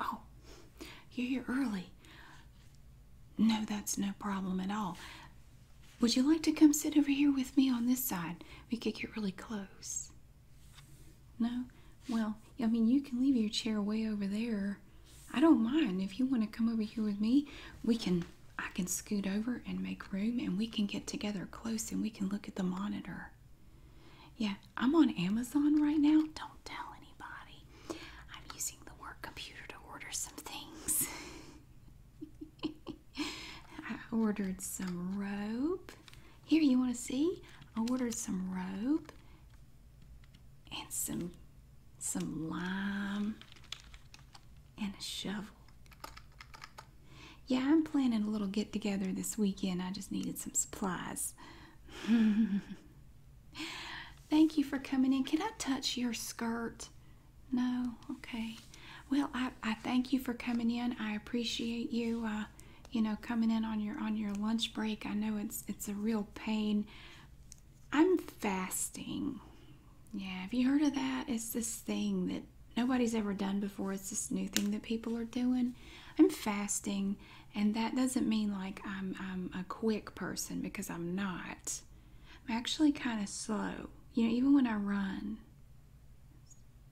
Oh, you're here early. No, that's no problem at all. Would you like to come sit over here with me on this side? We could get really close. No? Well, I mean, you can leave your chair way over there. I don't mind. If you want to come over here with me, we can. I can scoot over and make room and we can get together close and we can look at the monitor. Yeah, I'm on Amazon right now. Don't tell anybody. I'm using the work computer to order some things. I ordered some rope. Here, you want to see? I ordered some rope and some some lime and a shovel. Yeah, I'm planning a little get together this weekend. I just needed some supplies. Thank you for coming in. Can I touch your skirt? No? Okay. Well, I, I thank you for coming in. I appreciate you, uh, you know, coming in on your on your lunch break. I know it's it's a real pain. I'm fasting. Yeah, have you heard of that? It's this thing that nobody's ever done before. It's this new thing that people are doing. I'm fasting, and that doesn't mean like I'm, I'm a quick person because I'm not. I'm actually kind of slow. You know, even when I run,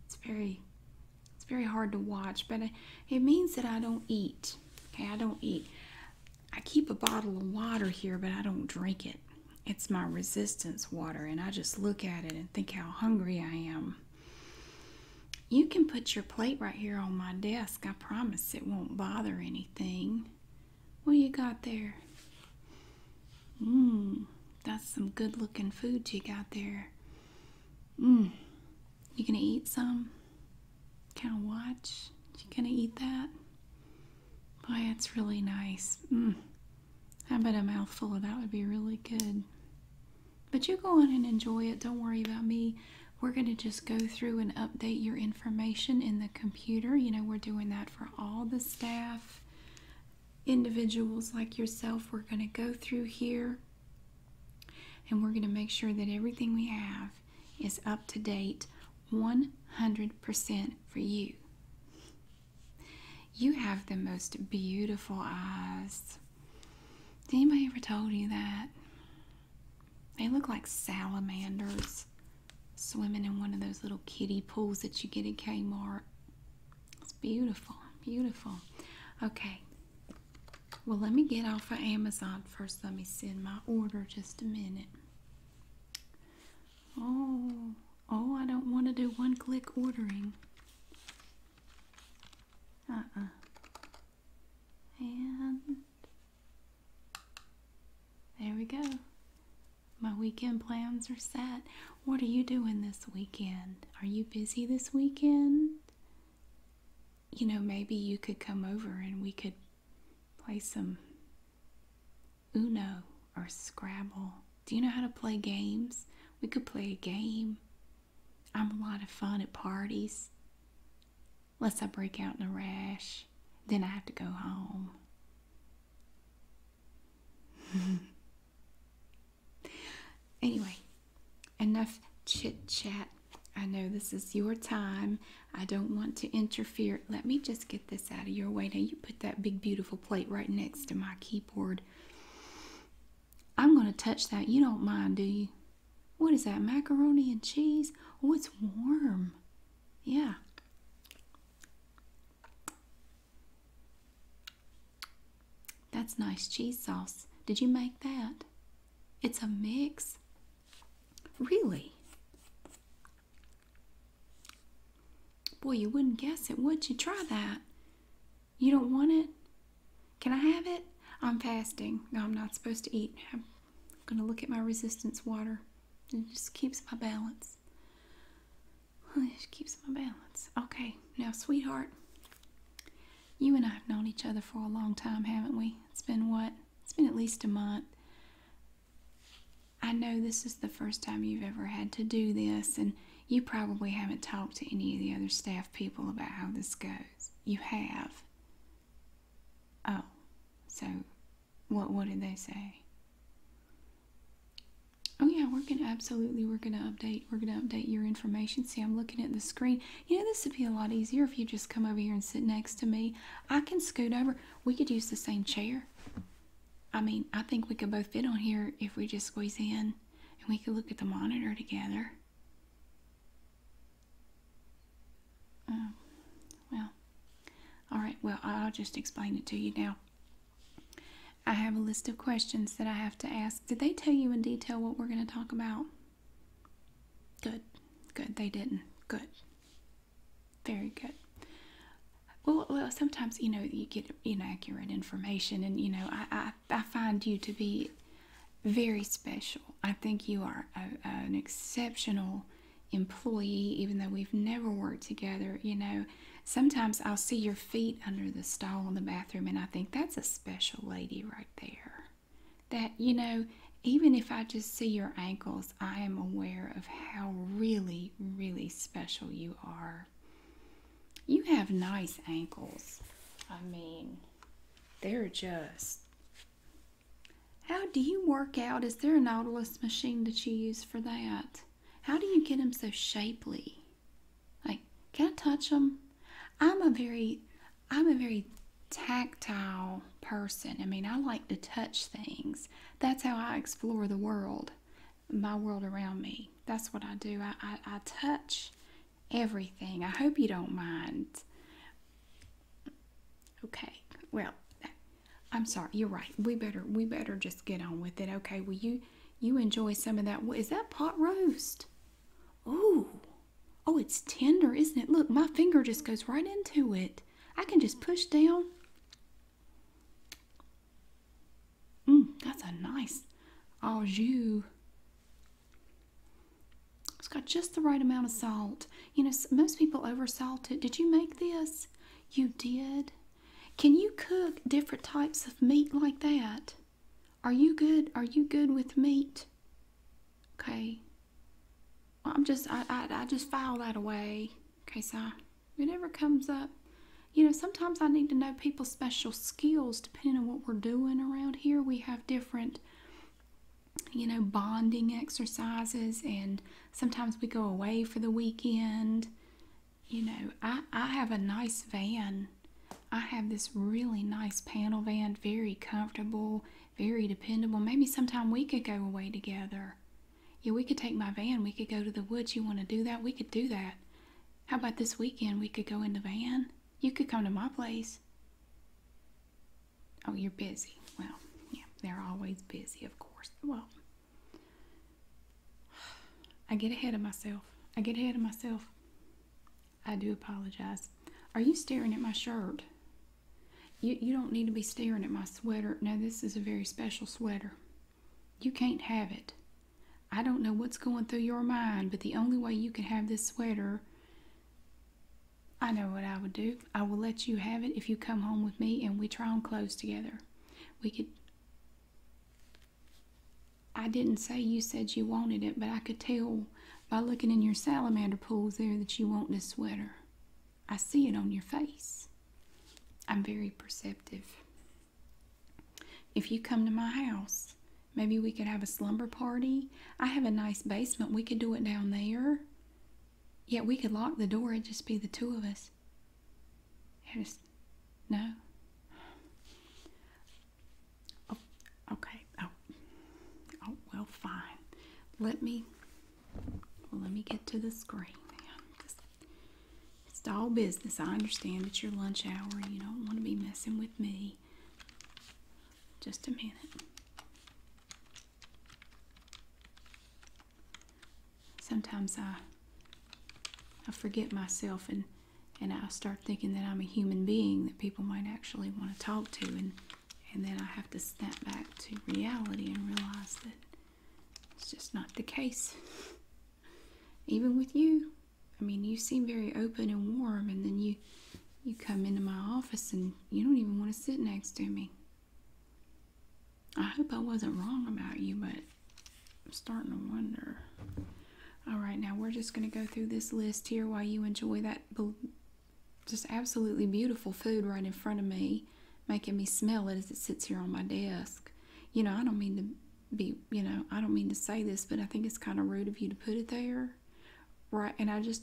it's very it's very hard to watch, but it means that I don't eat. Okay, I don't eat. I keep a bottle of water here, but I don't drink it. It's my resistance water, and I just look at it think how hungry I am. You can put your plate right here on my desk. I promise it won't bother anything. What you got there? Mmm, that's some good looking food you got there. Mmm, you gonna eat some? Kind of watch? You gonna eat that? Boy, it's really nice. Mmm, I bet a mouthful of that would be really good. But you go on and enjoy it. Don't worry about me. We're going to just go through and update your information in the computer. You know, we're doing that for all the staff, individuals like yourself. We're going to go through here and we're going to make sure that everything we have is up to date 100% for you. You have the most beautiful eyes. Did anybody ever told you that? They look like salamanders swimming in one of those little kiddie pools that you get at Kmart. It's beautiful, beautiful. Okay. Well, let me get off of Amazon first. Let me send my order just a minute. Oh. Oh, I don't want to do one click ordering. Uh And there we go. My weekend plans are set. What are you doing this weekend? Are you busy this weekend? You know, maybe you could come over and we could play some Uno or Scrabble do you know how to play games? We could play a game. I'm a lot of fun at parties. Unless I break out in a rash, then I have to go home. anyway, enough chit chat. I know this is your time. I don't want to interfere. Let me just get this out of your way. Now, you put that big, beautiful plate right next to my keyboard. I'm going to touch that. You don't mind, do you? What is that? Macaroni and cheese? Oh, it's warm. Yeah. That's nice cheese sauce. Did you make that? It's a mix. Really? Boy, you wouldn't guess it, would you? Try that. You don't want it? Can I have it? I'm fasting. No, I'm not supposed to eat. I'm going to look at my resistance water. It just keeps my balance. It keeps my balance. Okay, now, sweetheart, you and I have known each other for a long time, haven't we? It's been what? It's been at least a month. I know this is the first time you've ever had to do this, and you probably haven't talked to any of the other staff people about how this goes. You have. Oh, so what what did they say? Oh yeah, we're gonna absolutely we're gonna update we're gonna update your information. See, I'm looking at the screen. You know, this would be a lot easier if you just come over here and sit next to me. I can scoot over. We could use the same chair. I mean, I think we could both fit on here if we just squeeze in and we could look at the monitor together. Um, well, all right, well, I'll just explain it to you now. I have a list of questions that I have to ask. Did they tell you in detail what we're going to talk about? Good. Good. They didn't. Good. Very good. Well, well, sometimes you know you get inaccurate information, and you know I I, find you to be very special. I think you are an exceptional employee, even though we've never worked together. You know, sometimes I'll see your feet under the stall in the bathroom, and I think that's a special lady right there. That, you know, even if I just see your ankles, I am aware of how really, really special you are. You have nice ankles. I mean, they're just. How do you work out? Is there a Nautilus machine that you use for that? How do you get them so shapely? Like, can I touch them? I'm a very, I'm a very tactile person. I mean, I like to touch things. That's how I explore the world my world around me. That's what I do. I, I, touch everything. I hope you don't mind. Okay, well, I'm sorry. You're right. We better we better just get on with it. Okay. Well, you you enjoy some of that. What is that pot roast? Ooh. Oh, it's tender, isn't it? Look, my finger just goes right into it. I can just push down. Mm, that's a nice au jus. It's got just the right amount of salt. You know, most people over salt it. Did you make this? You did. Can you cook different types of meat like that? Are you good? Are you good with meat? Okay. I'm just, I, I, I just file that away in case I, if comes up you know, sometimes I need to know people's special skills depending on what we're doing around here. We have different, you know, bonding exercises, and sometimes we go away for the weekend. You know, I, I have a nice van. I have this really nice panel van, very comfortable, very dependable. Maybe sometime we could go away together. Yeah, we could take my van. We could go to the woods. You want to do that? We could do that. How about this weekend? We could go in the van. You could come to my place. Oh, you're busy. Well, yeah, they're always busy, of course. Well, I get ahead of myself. I get ahead of myself. I do apologize. Are you staring at my shirt? You, you don't need to be staring at my sweater. Now, this is a very special sweater. You can't have it. I don't know what's going through your mind, but the only way you can have this sweater, I know what I would do. I will let you have it if you come home with me and we try on clothes together. We could. I didn't say you said you wanted it, but I could tell by looking in your salamander pools there that you want this sweater. I see it on your face. I'm very perceptive. If you come to my house, maybe we could have a slumber party. I have a nice basement. We could do it down there. Yet we could lock the door. It'd just be the two of us. It is, no. Oh, okay. Oh. Oh, well, fine. Let me, let me get to the screen it's all business. I understand it's your lunch hour. You don't want to be messing with me. Just a minute. Sometimes I I forget myself and and I start thinking that I'm a human being that people might actually want to talk to and and then I have to snap back to reality and realize that it's just not the case even with you. I mean, you seem very open and warm, and then you you come into my office and you don't even want to sit next to me. I hope I wasn't wrong about you, but I'm starting to wonder. All right, now we're just going to go through this list here while you enjoy that just absolutely beautiful food right in front of me, making me smell it as it sits here on my desk. You know, I don't mean to be, you know, I don't mean to say this, but I think it's kind of rude of you to put it there. Right. And I just,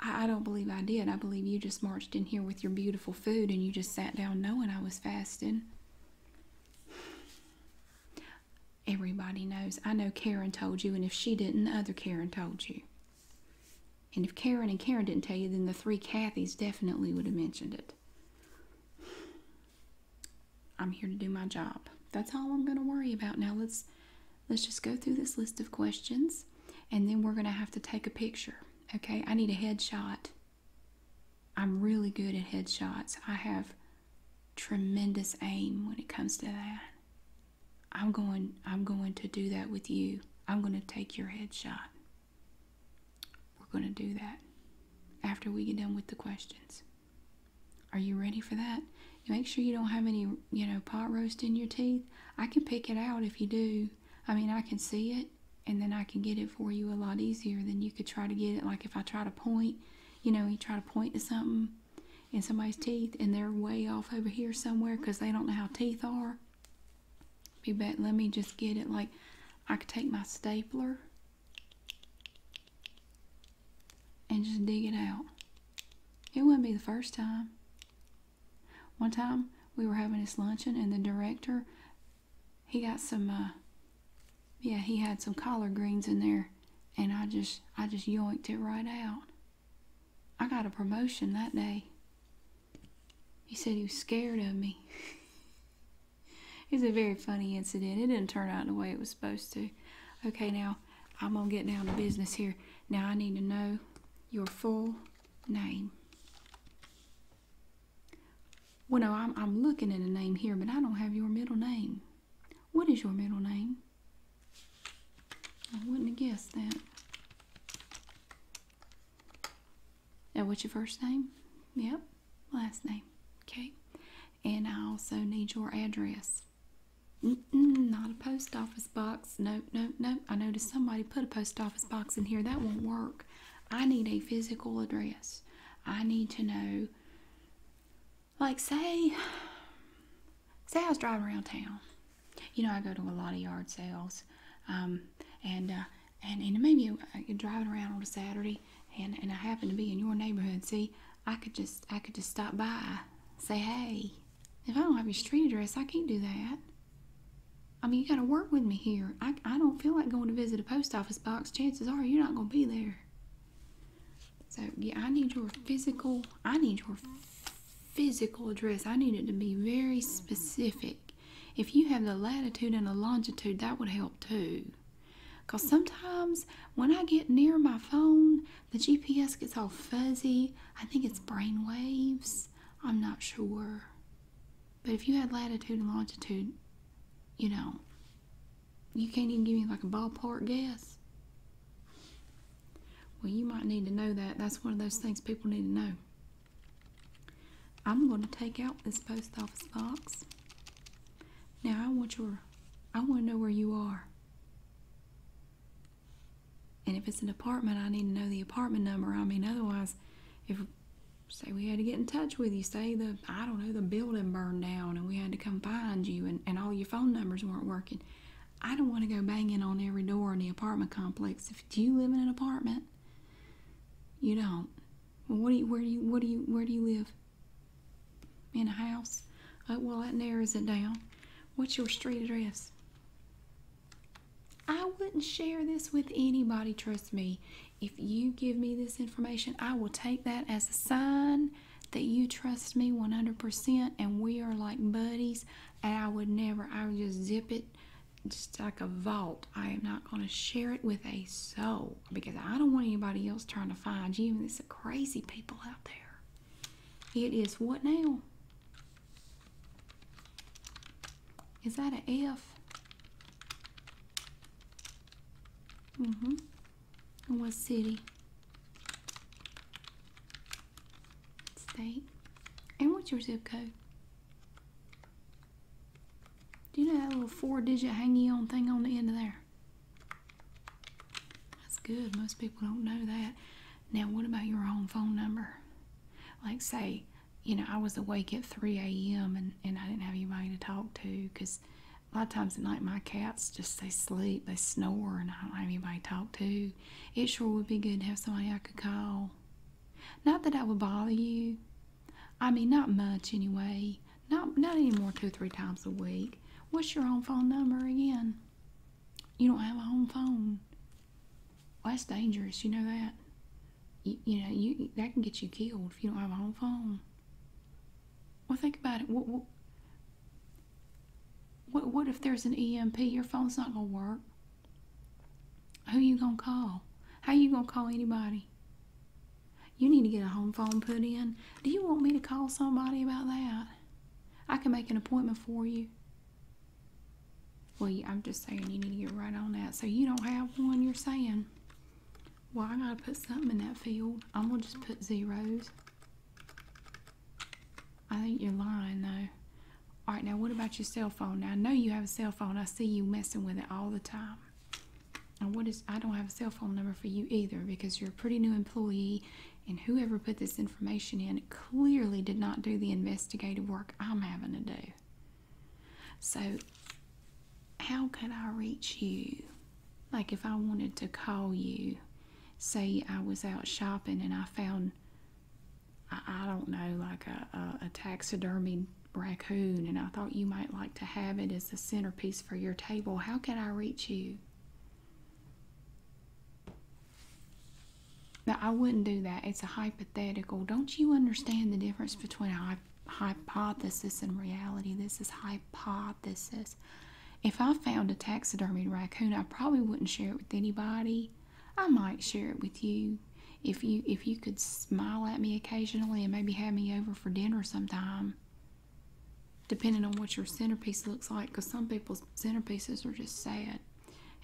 I, don't believe I did. I believe you just marched in here with your beautiful food and you just sat down knowing I was fasting. Everybody knows. I know Karen told you, and if she didn't, other Karen told you. And if Karen and Karen didn't tell you, then the three Kathys definitely would have mentioned it. I'm here to do my job. That's all I'm going to worry about. Now let's let's just go through this list of questions and then we're going to have to take a picture. Okay? I need a headshot. I'm really good at headshots. I have tremendous aim when it comes to that. I'm going I'm going to do that with you. I'm going to take your headshot. We're going to do that after we get done with the questions. Are you ready for that? make sure you don't have any, you know, pot roast in your teeth. I can pick it out if you do. I mean, I can see it and then I can get it for you a lot easier than you could try to get it. Like if I try to point, you know, you try to point to something in somebody's teeth and they're way off over here somewhere because they don't know how teeth are. You bet, let me just get it. Like I can take my stapler and just dig it out. It wouldn't be the first time. One time we were having this luncheon, and the director, he got some, uh, yeah, he had some collard greens in there, and I just, I just yoinked it right out. I got a promotion that day. He said he was scared of me. It was a very funny incident. It didn't turn out the way it was supposed to. Okay, now I'm going to get down to business here. Now I need to know your full name. Well, no, I'm, I'm looking at a name here, but I don't have your middle name. What is your middle name? I wouldn't have guessed that. And what's your first name? Yep last name. Okay. And I also need your address. not a post office box. No, no, no. I noticed somebody put a post office box in here. That won't work. I need a physical address. I need to know, like, say, say I was driving around town. You know, I go to a lot of yard sales, um, and in uh, the and uh, you're driving around on a Saturday, and I happen to be in your neighborhood. See, I could just I could just stop by, say hey. If I don't have your street address, I can't do that. I mean, you got to work with me here. I I don't feel like going to visit a post office box. Chances are you're not going to be there. So yeah, I need your physical. I need your physical address. I need it to be very specific. If you have the latitude and the longitude, that would help too. Because sometimes when I get near my phone, the GPS gets all fuzzy. I think it's brain waves. I'm not sure. But if you had latitude and longitude, you know, you can't even give me like a ballpark guess. Well, you might need to know that. That's one of those things people need to know. I'm going to take out this post office box. Now I want your I want to know where you are. And if it's an apartment, I need to know the apartment number. I mean, otherwise, if say we had to get in touch with you, say the I don't know the building burned down and we had to come find you, and and all your phone numbers weren't working. I don't want to go banging on every door in the apartment complex. If you live in an apartment? You don't. Well, what do you? Where do you? What do you? Where do you live? in a house. Oh, well, that narrows it down. What's your street address? I wouldn't share this with anybody, trust me. If you give me this information, I will take that as a sign that you trust me 100% and we are like buddies. And I would never, I would just zip it just like a vault. I am not going to share it with a soul because I don't want anybody else trying to find you. And there's crazy people out there. It is what now? Is that an F? Mm-hmm. And what city? State. And what's your zip code? Do you know that little four digit hangy on thing on the end of there? That's good. Most people don't know that. Now, what about your home phone number? Like, say, you know, I was awake at 3 a.m. And, and I didn't have anybody to talk to because a lot of times at night my cats just, they sleep, they snore, and I don't have anybody to talk to. It sure would be good to have somebody I could call. Not that I would bother you, I mean, not much anyway. Not not anymore. two three times a week. What's your home phone number again? You don't have a home phone. Well, that's dangerous. You know that. You, know you that can get you killed if you don't have a home phone. Well, think about it. What what what, what if there's an EMP? Your phone's not gonna work. Who you gonna call? How you gonna call anybody? You need to get a home phone put in. Do you want me to call somebody about that? I can make an appointment for you. Well, I'm just saying you need to get right on that. So you don't have one, you're saying. Well, I gotta put something in that field. I'm gonna just put zeros. I think you're lying, though. All right, now what about your cell phone? Now, I know you have a cell phone. I see you messing with it all the time. Um, and what is, I don't have a cell phone number for you either because you're a pretty new employee and whoever put this information in clearly did not do the investigative work I'm having to do. So, how could I reach you? Like, if I wanted to call you, say I was out shopping and I found, I, don't know, like a, a, taxidermy raccoon and I thought you might like to have it as the centerpiece for your table, how can I reach you? Now, I wouldn't do that. It's a hypothetical. Don't you understand the difference between a hypothesis and reality? This is hypothesis. If I found a taxidermied raccoon, I probably wouldn't share it with anybody. I might share it with you if you if you could smile at me occasionally and maybe have me over for dinner sometime depending on what your centerpiece looks like because some people's centerpieces are just sad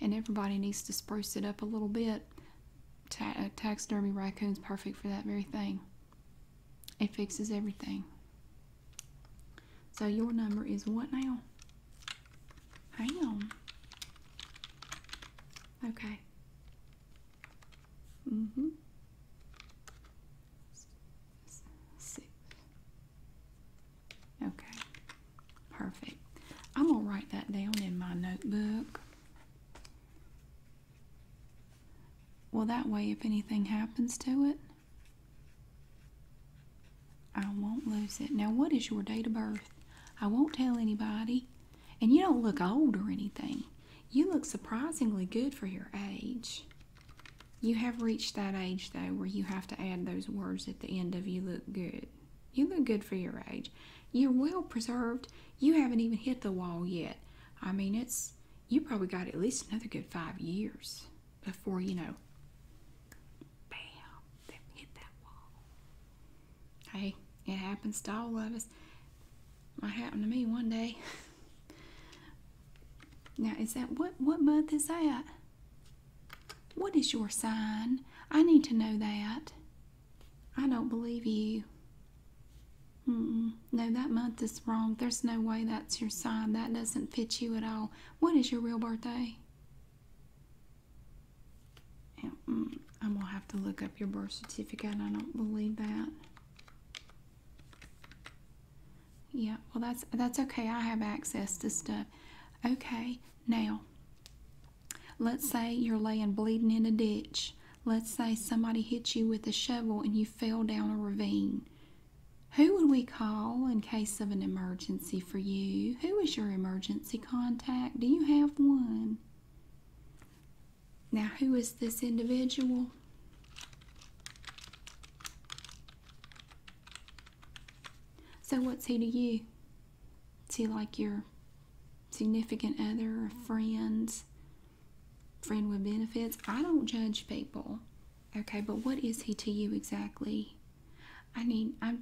and everybody needs to spruce it up a little bit Ta uh, taxidermy raccoon's perfect for that very thing it fixes everything so your number is what now hang on okay Mm -hmm. Six. Okay, perfect. I'm gonna write that down in my notebook. Well, that way, if anything happens to it, I won't lose it. Now, what is your date of birth? I won't tell anybody. And you don't look old or anything. You look surprisingly good for your age. You have reached that age, though, where you have to add those words at the end of you look good. You look good for your age. You're well preserved. You haven't even hit the wall yet. I mean, it's you probably got at least another good five years before you know. Bam, hit that wall. Hey, it happens to all of us. Might happen to me one day. now, is that what what month is that? What is your sign? I need to know that. I don't believe you. No, that month is wrong. There's no way that's your sign. That doesn't fit you at all. What is your real birthday? Mm, I'm going to have to look up your birth certificate. I don't believe that. Yeah, well that's that's okay. I have access to stuff. Okay, now let's say you're laying bleeding in a ditch. Let's say somebody hit you with a shovel and you fell down a ravine. Who would we call in case of an emergency for you? Who is your emergency contact? Do you have one? Now, who is this individual? So, what's he to you? Is he like your significant other friends? Friend with benefits? I don't judge people. Okay, but what is he to you exactly? I need I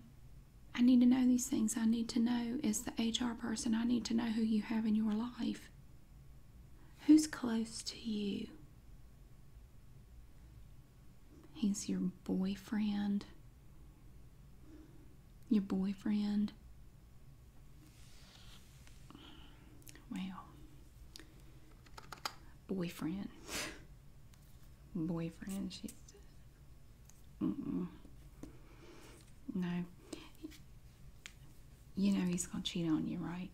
I need to know these things. I need to know as the HR person, I need to know who you have in your life. Who's close to you? He's your boyfriend. Your boyfriend. Well, boyfriend. boyfriend, she's. Mm No you know he's going to cheat on you, right?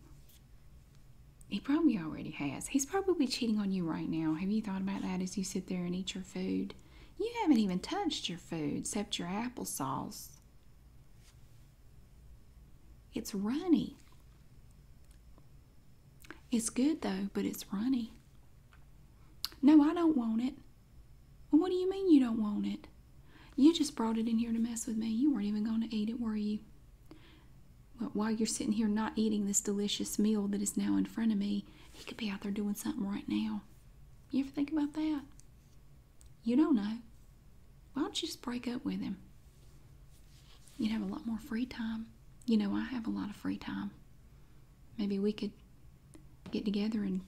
He probably already has. He's probably cheating on you right now. Have you thought about that as you sit there and eat your food? You haven't even touched your food except your applesauce. It's runny. It's good though, but it's runny. No, I don't want it. what do you mean you don't want it? You just brought it in here to mess with me. You weren't even going to eat it, were you? Well, while you're sitting here not eating this delicious meal that is now in front of me, he could be out there doing something right now. You ever think about that? You don't know. Why don't you just break up with him? You'd have a lot more free time. You know, I have a lot of free time. Maybe we could get together and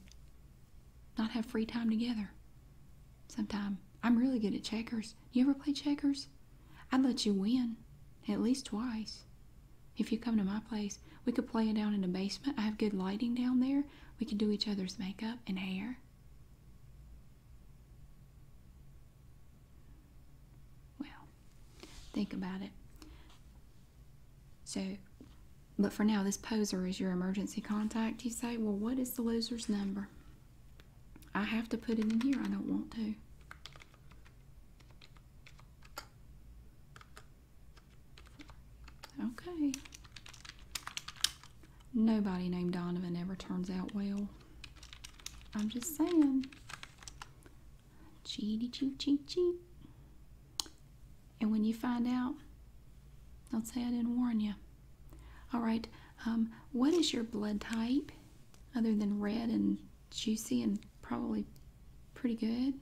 not have free time together sometime. I'm really good at checkers. You ever play checkers? I'd let you win at least twice. If you come to my place, we could play it down in the basement. I have good lighting down there. We could do each other's makeup and hair. Well, think about it. So, but for now, this poser is your emergency contact. You say, well, what is the loser's number? I have to put it in here. I don't want to. Okay. Nobody named Donovan ever turns out well. I'm just saying. chee Cheaty cheat chee chee And when you find out, don't say I didn't warn you. All right. Um, what is your blood type other than red and juicy and probably pretty good?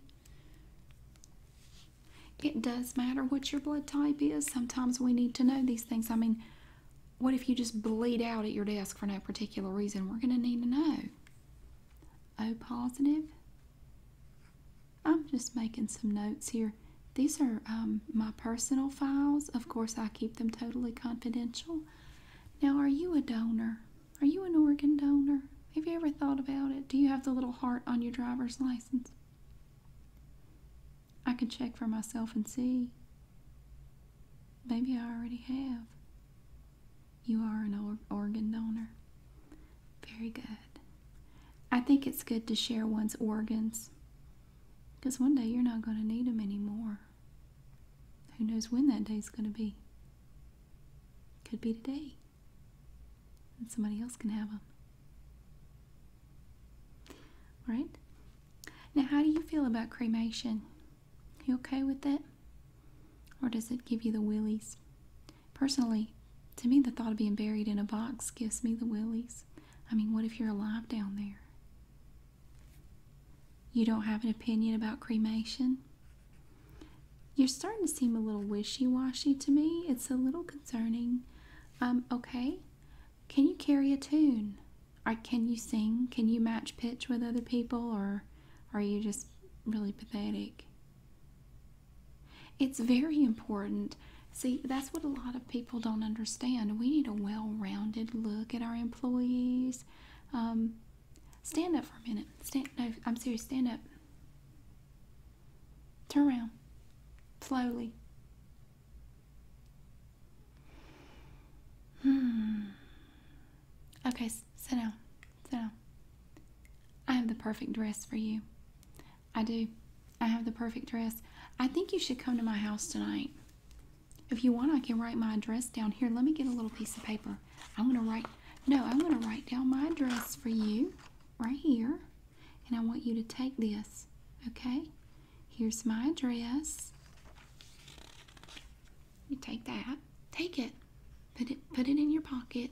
It does matter what your blood type is. Sometimes we need to know these things. I mean, what if you just bleed out at your desk for no particular reason? We're going to need to know. O positive. I'm just making some notes here. These are um, my personal files. Of course, I keep them totally confidential. Now, are you a donor? Are you an organ donor? Have you ever thought about it? Do you have the little heart on your driver's license? I can check for myself and see. Maybe I already have. You are an or organ donor. Very good. I think it's good to share one's organs because one day you're not going to need them anymore. Who knows when that day's going to be? Could be today. And somebody else can have them. All right? Now, how do you feel about cremation? You okay with it? Or does it give you the willies? Personally, to me, the thought of being buried in a box gives me the willies. I mean, what if you're alive down there? You don't have an opinion about cremation? You're starting to seem a little wishy washy to me. It's a little concerning. Um, okay, can you carry a tune? Or can you sing? Can you match pitch with other people? Or are you just really pathetic? It's very important See, that's what a lot of people don't understand. We need a well rounded look at our employees. Um, stand up for a minute. Stand, no, I'm serious. Stand up. Turn around. Slowly. Hmm. Okay, sit down. Sit down. I have the perfect dress for you. I do. I have the perfect dress. I think you should come to my house tonight. If you want, I can write my address down here. Let me get a little piece of paper. I'm going to write, no, I'm going to write down my address for you right here. And I want you to take this, okay? Here's my address. You take that. Take it. Put it, put it in your pocket.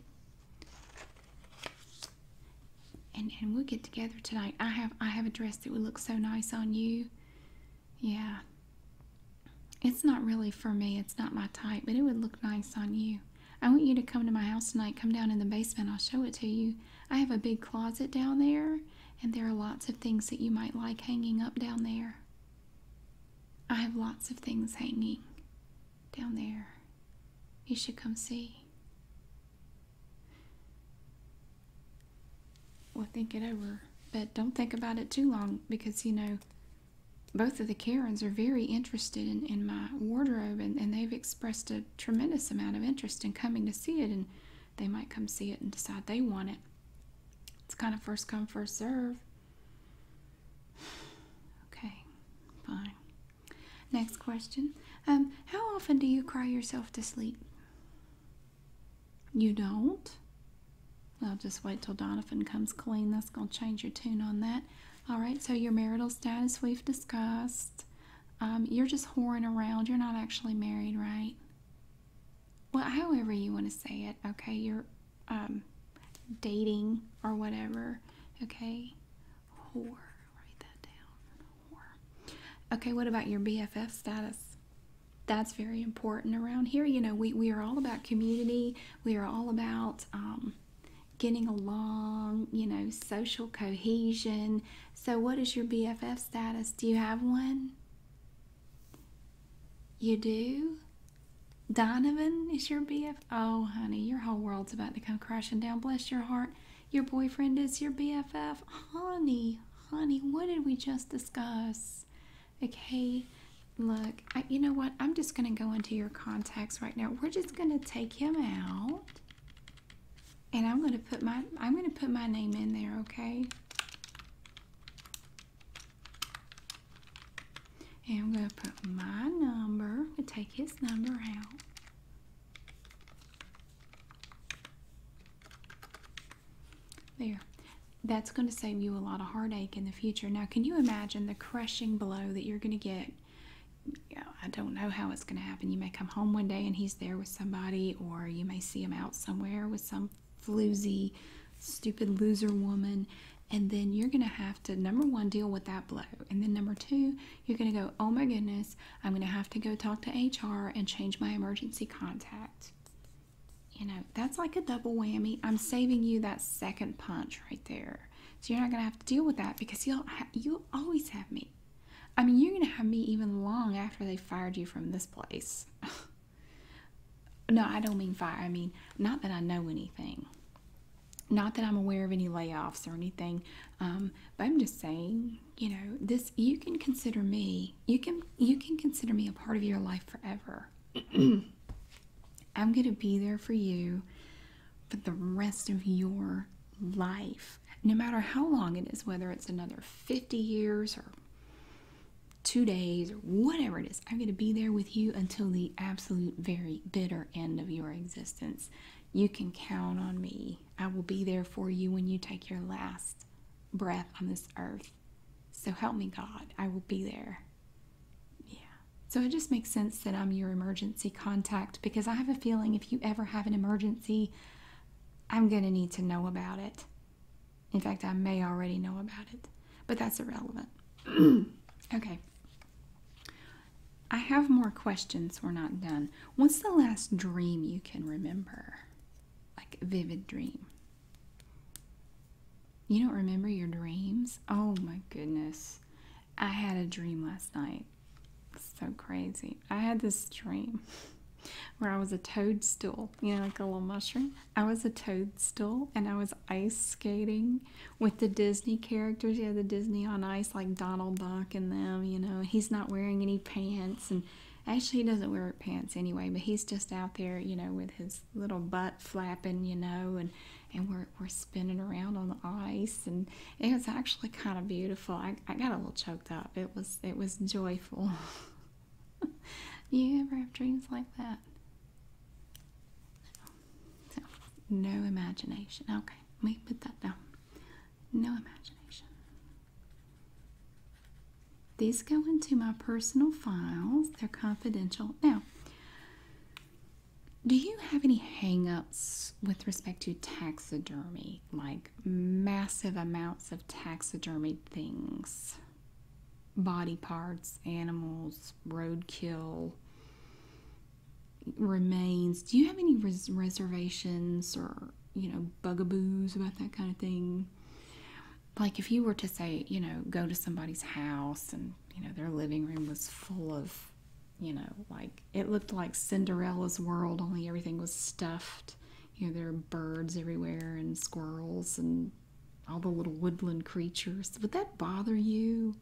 And, and we'll get together tonight. I have I have a dress. It would look so nice on you. Yeah. It's not really for me. It's not my type, but it would look nice on you. I want you to come to my house tonight. Come down in the basement. I'll show it to you. I have a big closet down there, and there are lots of things that you might like hanging up down there. I have lots of things hanging down there. You should come see. Well, think it over, but don't think about it too long because you know both of the Karens are very interested in, in my wardrobe and, and they've expressed a tremendous amount of interest in coming to see it and they might come see it and decide they want it. It's kind of first come, first serve. Okay, fine. Next question. Um, how often do you cry yourself to sleep? You don't? I'll just wait till Donovan comes clean. That's going to change your tune on that. All right, so your marital status we've discussed. Um, you're just whoring around. You're not actually married, right? Well, however you want to say it, okay? You're um, dating or whatever, okay? Whore. Write that down. Okay, what about your BFF status? That's very important around here. You know, we, we are all about community, we are all about um, getting along, you know, social cohesion. So, what is your BFF status? Do you have one? You do? Donovan is your BF. Oh, honey, your whole world's about to come crashing down. Bless your heart. Your boyfriend is your BFF? Honey, honey, what did we just discuss? Okay, look, you know what? I'm just going to go into your contacts right now. We're just going to take him out. And I'm going to put my I'm going to put my name in there, okay? And I'm going to put my number. We take his number out. There. That's going to save you a lot of heartache in the future. Now, can you imagine the crushing blow that you're going to get? I don't know how it's going to happen. You may come home one day and he's there with somebody, or you may see him out somewhere with some floozy, stupid loser woman. And then you're going to have to, number one, deal with that blow. And then number two, you're going to go, oh my goodness, I'm going to have to go talk to HR and change my emergency contact you know that's like a double whammy i'm saving you that second punch right there so you're not going to have to deal with that because you'll you'll always have me i mean you're going to have me even long after they fired you from this place no i don't mean fire i mean not that i know anything not that i'm aware of any layoffs or anything um, but i'm just saying you know this you can consider me you can you can consider me a part of your life forever i'm going to be there for you for the rest of your life no matter how long it is whether it's another 50 years or two days or whatever it is i'm going to be there with you until the absolute very bitter end of your existence you can count on me i will be there for you when you take your last breath on this earth. So help me, God. I will be there. Yeah. So it just makes sense that I'm your emergency contact because I have a feeling if you ever have an emergency, I'm going to need to know about it. In fact, I may already know about it, but that's irrelevant. okay. I have more questions. We're not done. What's the last dream you can remember? like vivid dream. You don't remember your dreams? Oh my goodness. I had a dream last night. so crazy. I had this dream where I was a toadstool, you know, like a little mushroom. I was a toadstool and I was ice skating with the Disney characters. Yeah, the Disney on ice, like Donald Duck and them, you know. He's not wearing any pants and Actually, he doesn't wear pants anyway, but he's just out there, you know, with his little butt flapping, you know, and, and we're, we're spinning around on the ice. And it was actually kind of beautiful. I, I got a little choked up. It was, it was joyful. you ever have dreams like that? no imagination. Okay, let me put that down. No imagination. These go into my personal files. They're confidential. Now, do you have any hangups with respect to taxidermy, like massive amounts of taxidermy things, body parts, animals, roadkill, remains? Do you have any reservations or you know, bugaboos about that kind of thing. Like if you were to say, you know, go to somebody's house and, you know, their living room was full of, you know, like it looked like Cinderella's world, only everything was stuffed. You know, there are birds everywhere and squirrels and all the little woodland creatures. Would that bother you?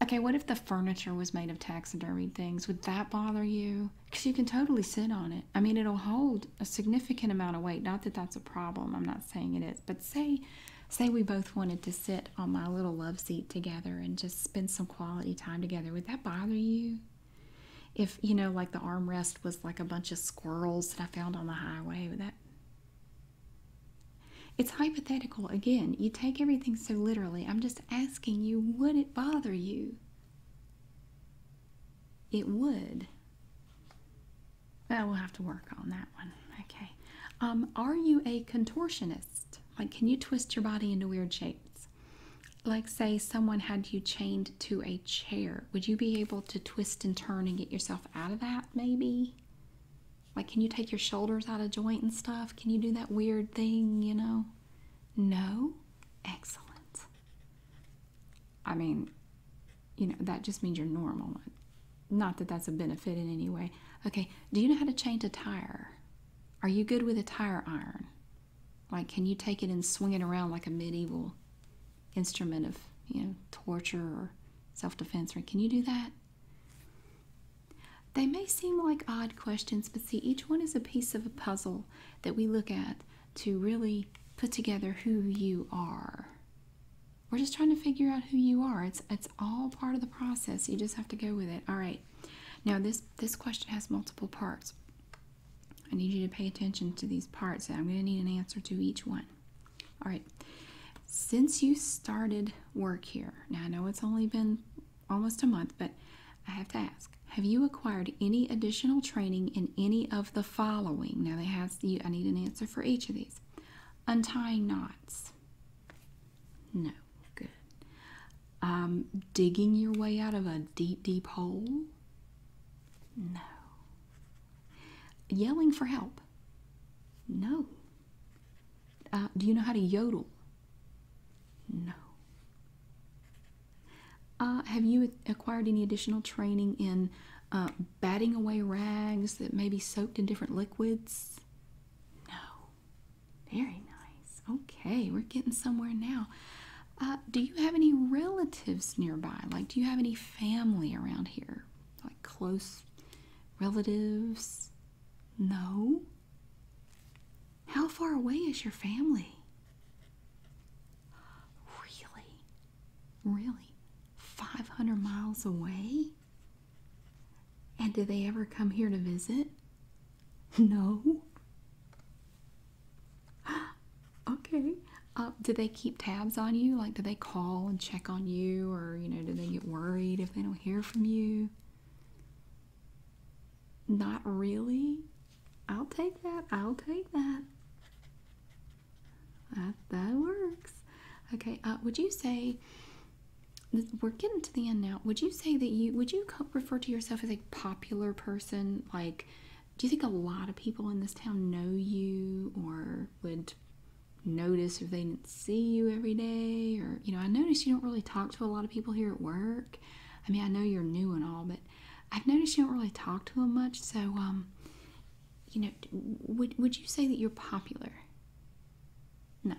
Okay, what if the furniture was made of taxidermied things? Would that bother you? Because you can totally sit on it. I mean, it'll hold a significant amount of weight. Not that that's a problem. I'm not saying it is. But say, say we both wanted to sit on my little love seat together and just spend some quality time together. Would that bother you? If you know, like the armrest was like a bunch of squirrels that I found on the highway, would that? It's hypothetical. Again, you take everything so literally. I'm just asking you, would it bother you? It would. Well, we'll have to work on that one. Okay. Um, are you a contortionist? Like, can you twist your body into weird shapes? Like, say, someone had you chained to a chair. Would you be able to twist and turn and get yourself out of that, maybe? Like, can you take your shoulders out of joint and stuff? Can you do that weird thing, you know? No? Excellent. I mean, you know, that just means you're normal. Not that that's a benefit in any way. Okay, do you know how to change a tire? Are you good with a tire iron? Like, can you take it and swing it around like a medieval instrument of, you know, torture or self defense? Or can you do that? They may seem like odd questions, but see, each one is a piece of a puzzle that we look at to really put together who you are. We're just trying to figure out who you are. It's it's all part of the process. You just have to go with it. All right. Now this this question has multiple parts. I need you to pay attention to these parts. I'm going to need an answer to each one. All right. Since you started work here, now I know it's only been almost a month, but I have to ask, have you acquired any additional training in any of the following? Now, they have you, I need an answer for each of these. Untying knots. No, good. Um, digging your way out of a deep, deep hole. No. Yelling for help. No. Uh, do you know how to yodel? No. Uh, have you acquired any additional training in uh, batting away rags that may be soaked in different liquids? No. Very nice. Okay, we're getting somewhere now. Uh, do you have any relatives nearby? Like, do you have any family around here? Like close relatives? No. How far away is your family? Really? Really? 500 miles away? And do they ever come here to visit? No. okay. Uh, do they keep tabs on you? Like, do they call and check on you? Or, you know, do they get worried if they don't hear from you? Not really. I'll take that. I'll take that. That that works. Okay. Uh, would you say we're getting to the end now? Would you say that you would you refer to yourself as a popular person? Like, do you think a lot of people in this town know you, or would notice if they didn't see you every day? Or you know, I notice you don't really talk to a lot of people here at work. I mean, I know you're new and all, but I've noticed you don't really talk to him much. So, um, you know, would would you say that you're popular? No.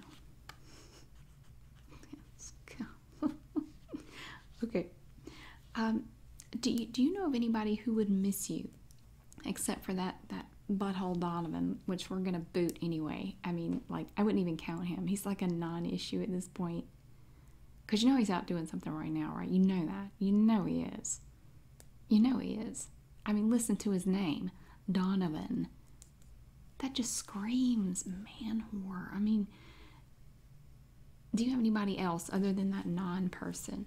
okay. Um, do you do you know of anybody who would miss you, except for that that butthole Donovan, which we're gonna boot anyway? I mean, like I wouldn't even count him. He's like a non-issue at this point. Because you know he's out doing something right now, right? You know that. You know he is. You know he is. I mean, listen to his name Donovan. That just screams man horror. I mean, do you have anybody else other than that non person?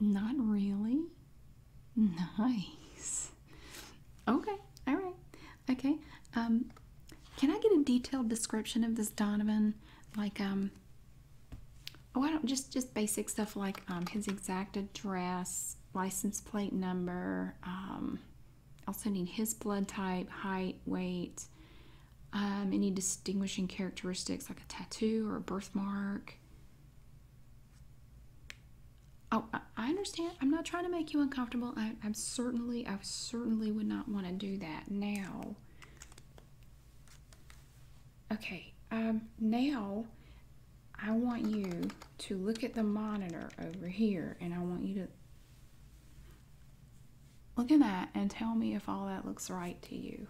Not really. Nice. Okay. All right. Okay. Um, can I get a detailed description of this Donovan? Like, um, oh, I don't just just basic stuff like um, his exact address, license plate number. Um, also need his blood type, height, weight. Um, any distinguishing characteristics like a tattoo or a birthmark. Oh, I understand. I'm not trying to make you uncomfortable. I, I'm certainly, I certainly would not want to do that now. Okay, um, now I want you to look at the monitor over here and I want you to look at that and tell me if all that looks right to you.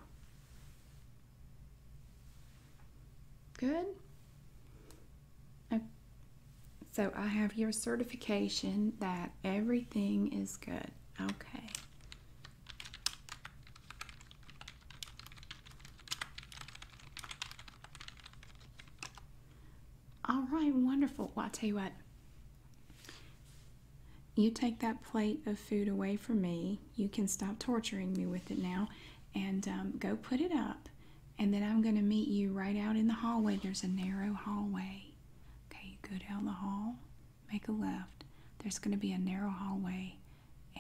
Good? So I have your certification that everything is good. Okay. All right, wonderful. Well, I'll tell you what. You take that plate of food away from me. You can stop torturing me with it now and um, go put it up. And then I'm going to meet you right out in the hallway. There's a narrow hallway. Okay, you go down the hall, make a left. There's going to be a narrow hallway,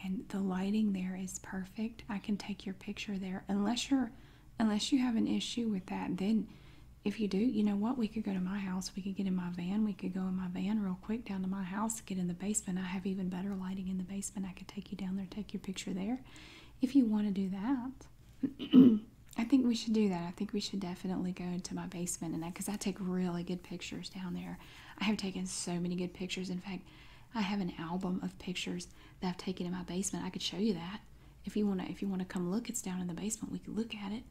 and the lighting there is perfect. I can take your picture there, unless you're, unless you have an issue with that. Then, if you do, you know what? We could go to my house. We could get in my van. We could go in my van real quick down to my house. Get in the basement. I have even better lighting in the basement. I could take you down there, take your picture there, if you want to do that. I think we should do that. I think we should definitely go into my basement and that because I take really good pictures down there. I have taken so many good pictures. In fact, I have an album of pictures that I've taken in my basement. I could show you that if you wanna. If you wanna come look, it's down in the basement. We could look at it.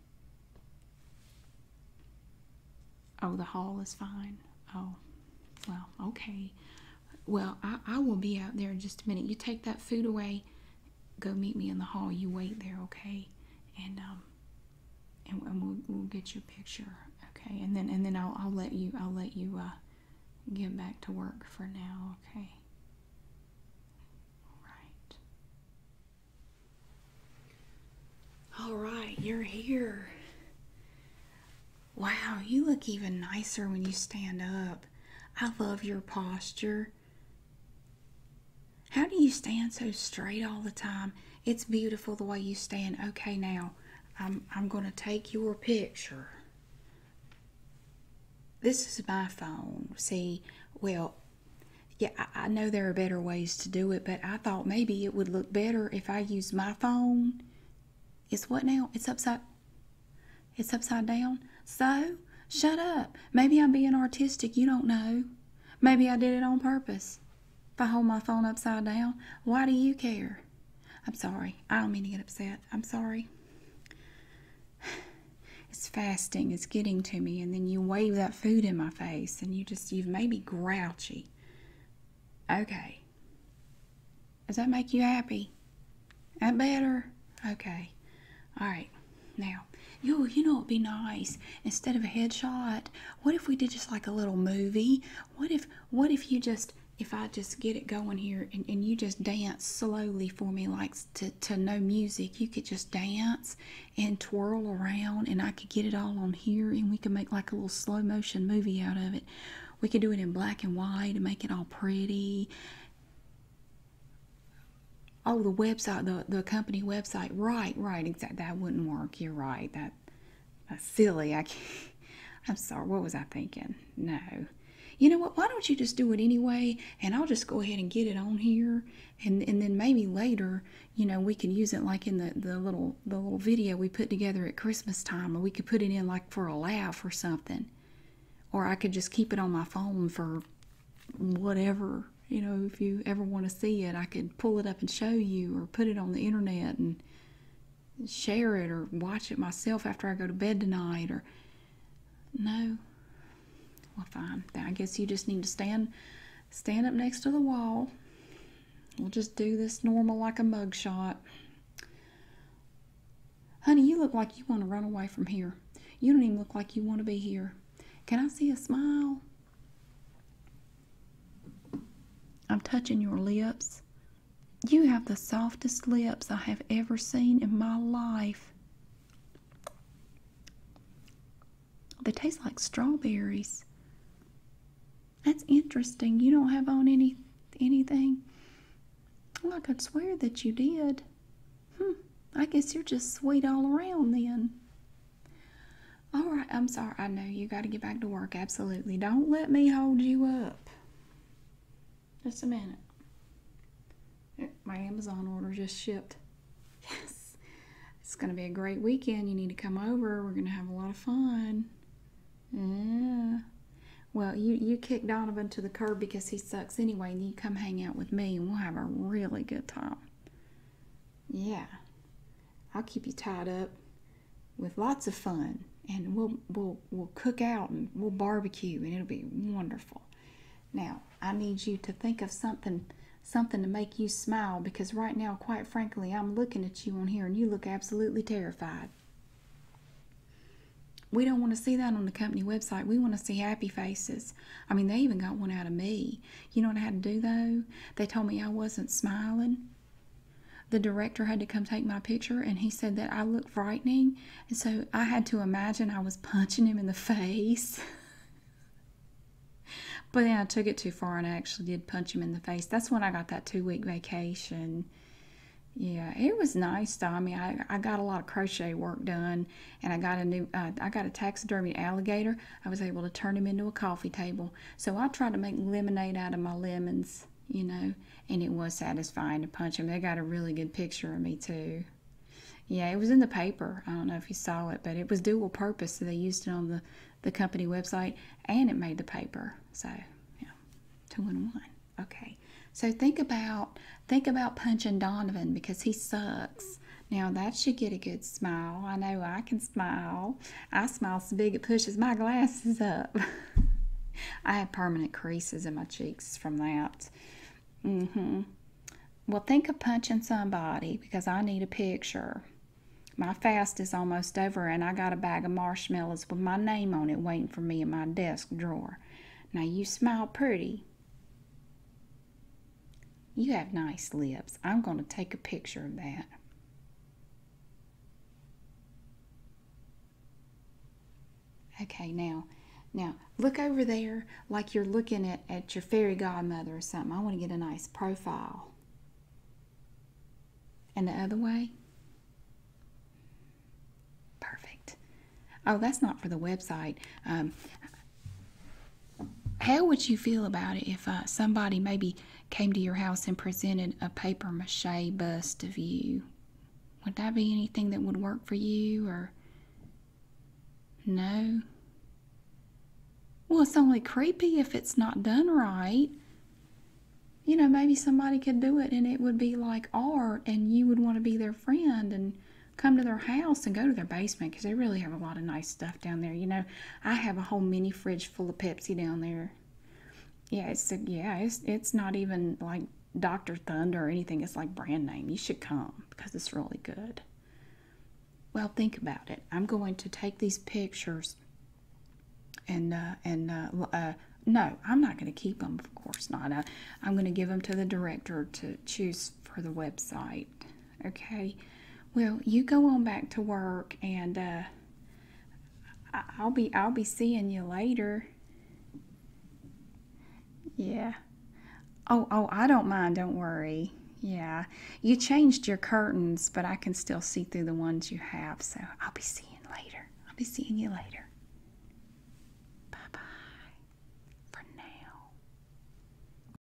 Oh, the hall is fine. Oh, well, okay. Well, I will be out there in just a minute. You take that food away go meet me in the hall. You wait there, okay? And um, and, we'll we'll get your picture, okay? And then and then I'll I'll let you I'll let you uh get back to work for now, okay? All right. All right, you're here. Wow, you look even nicer when you stand up. I love your posture. How do you stand so straight all the time? It's beautiful the way you stand. Okay, now I'm, I'm going to take your picture. This is my phone. See, well, yeah, I, know there are better ways to do it, but I thought maybe it would look better if I use my phone. It's what now? It's upside. It's upside down. So shut up. Maybe I'm being artistic. You don't know. Maybe I did it on purpose. If I hold my phone upside down, why do you care? I'm sorry. I don't mean to get upset. I'm sorry. It's fasting. It's getting to me. And then you wave that food in my face and you just, you've made me grouchy. Okay. Does that make you happy? That better? Okay. All right. Now, yo, you know it'd be nice instead of a headshot. What if we did just like a little movie? What if what if you just if I just get it going here and, and you just dance slowly for me like to, to no music, you could just dance and twirl around and I could get it all on here and we could make like a little slow motion movie out of it. We could do it in black and white and make it all pretty. Oh, the website, the, the company website. Right, right, exactly. That wouldn't work. You're right. That that's silly. I can't. I'm sorry. What was I thinking? No. You know what? Why don't you just do it anyway? And I'll just go ahead and get it on here, and and then maybe later, you know, we can use it like in the the little the little video we put together at Christmas time, or we could put it in like for a laugh or something, or I could just keep it on my phone for whatever you know if you ever want to see it i could pull it up and show you or put it on the internet and share it or watch it myself after i go to bed tonight or no well fine i guess you just need to stand stand up next to the wall we'll just do this normal like a mug shot honey you look like you want to run away from here you don't even look like you want to be here can i see a smile I'm touching your lips. You have the softest lips I have ever seen in my life. They taste like strawberries. That's interesting. You don't have on any anything. I could swear that you did. Hmm. I guess you're just sweet all around then. All right, I'm sorry. I know you got to get back to work. Absolutely. Don't let me hold you up. Just a minute. My Amazon order just shipped. Yes. It's going to be a great weekend. You need to come over. We're going to have a lot of fun. Yeah. Well, you, you kick Donovan to the curb because he sucks anyway, and you come hang out with me, and we'll have a really good time. Yeah. I'll keep you tied up with lots of fun and we'll we'll we'll cook out and we'll barbecue and it'll be wonderful. Now, I need you to think of something something to make you smile because right now, quite frankly, I'm looking at you on here and you look absolutely terrified. We don't want to see that on the company website. We want to see happy faces. I mean, they even got one out of me. You know what I had to do though? They told me I wasn't smiling. The director had to come take my picture and he said that I looked frightening. And so I had to imagine I was punching him in the face. but then I took it too far and I actually did punch him in the face. That's when I got that two week vacation. Yeah, it was nice. Though. I mean, I, I got a lot of crochet work done and I got a new uh, I got a taxidermy alligator. I was able to turn him into a coffee table. So I tried to make lemonade out of my lemons, you know, and it was satisfying to punch him. They got a really good picture of me too. Yeah, it was in the paper. I don't know if you saw it, but it was dual purpose. So they used it on the the company website and it made the paper. So yeah, two in one. Okay. So think about think about punching Donovan because he sucks. Now that should get a good smile. I know I can smile. I smile so big it pushes my glasses up. I have permanent creases in my cheeks from that. Mm-hmm. Well, think of punching somebody because I need a picture. My fast is almost over, and I got a bag of marshmallows with my name on it waiting for me in my desk drawer. Now you smile pretty. You have nice lips. I'm going to take a picture of that. Okay, now, now look over there like you're looking at, at your fairy godmother or something. I want to get a nice profile. And the other way. Perfect. Oh, that's not for the website. Um, how would you feel about it if uh, somebody maybe came to your house and presented a papier mache bust of you? Would that be anything that would work for you or no? Well, it's only creepy if it's not done right. You know, maybe somebody could do it and it would be like art and you would want to be their friend and come to their house and go to their basement because they really have a lot of nice stuff down there. You know, I have a whole mini fridge full of Pepsi down there. Yeah, it's a, yeah, it's it's not even like Dr. Thunder or anything. It's like brand name. You should come because it's really good. Well, think about it. I'm going to take these pictures and uh, and uh, uh, no, I'm not going to keep them. Of course not. I'm going to give them to the director to choose for the website. Okay. Well, you go on back to work, and uh, I'll be I'll be seeing you later. Yeah. Oh, oh, I don't mind. Don't worry. Yeah. You changed your curtains, but I can still see through the ones you have. So I'll be seeing later. I'll be seeing you later. Bye bye for now.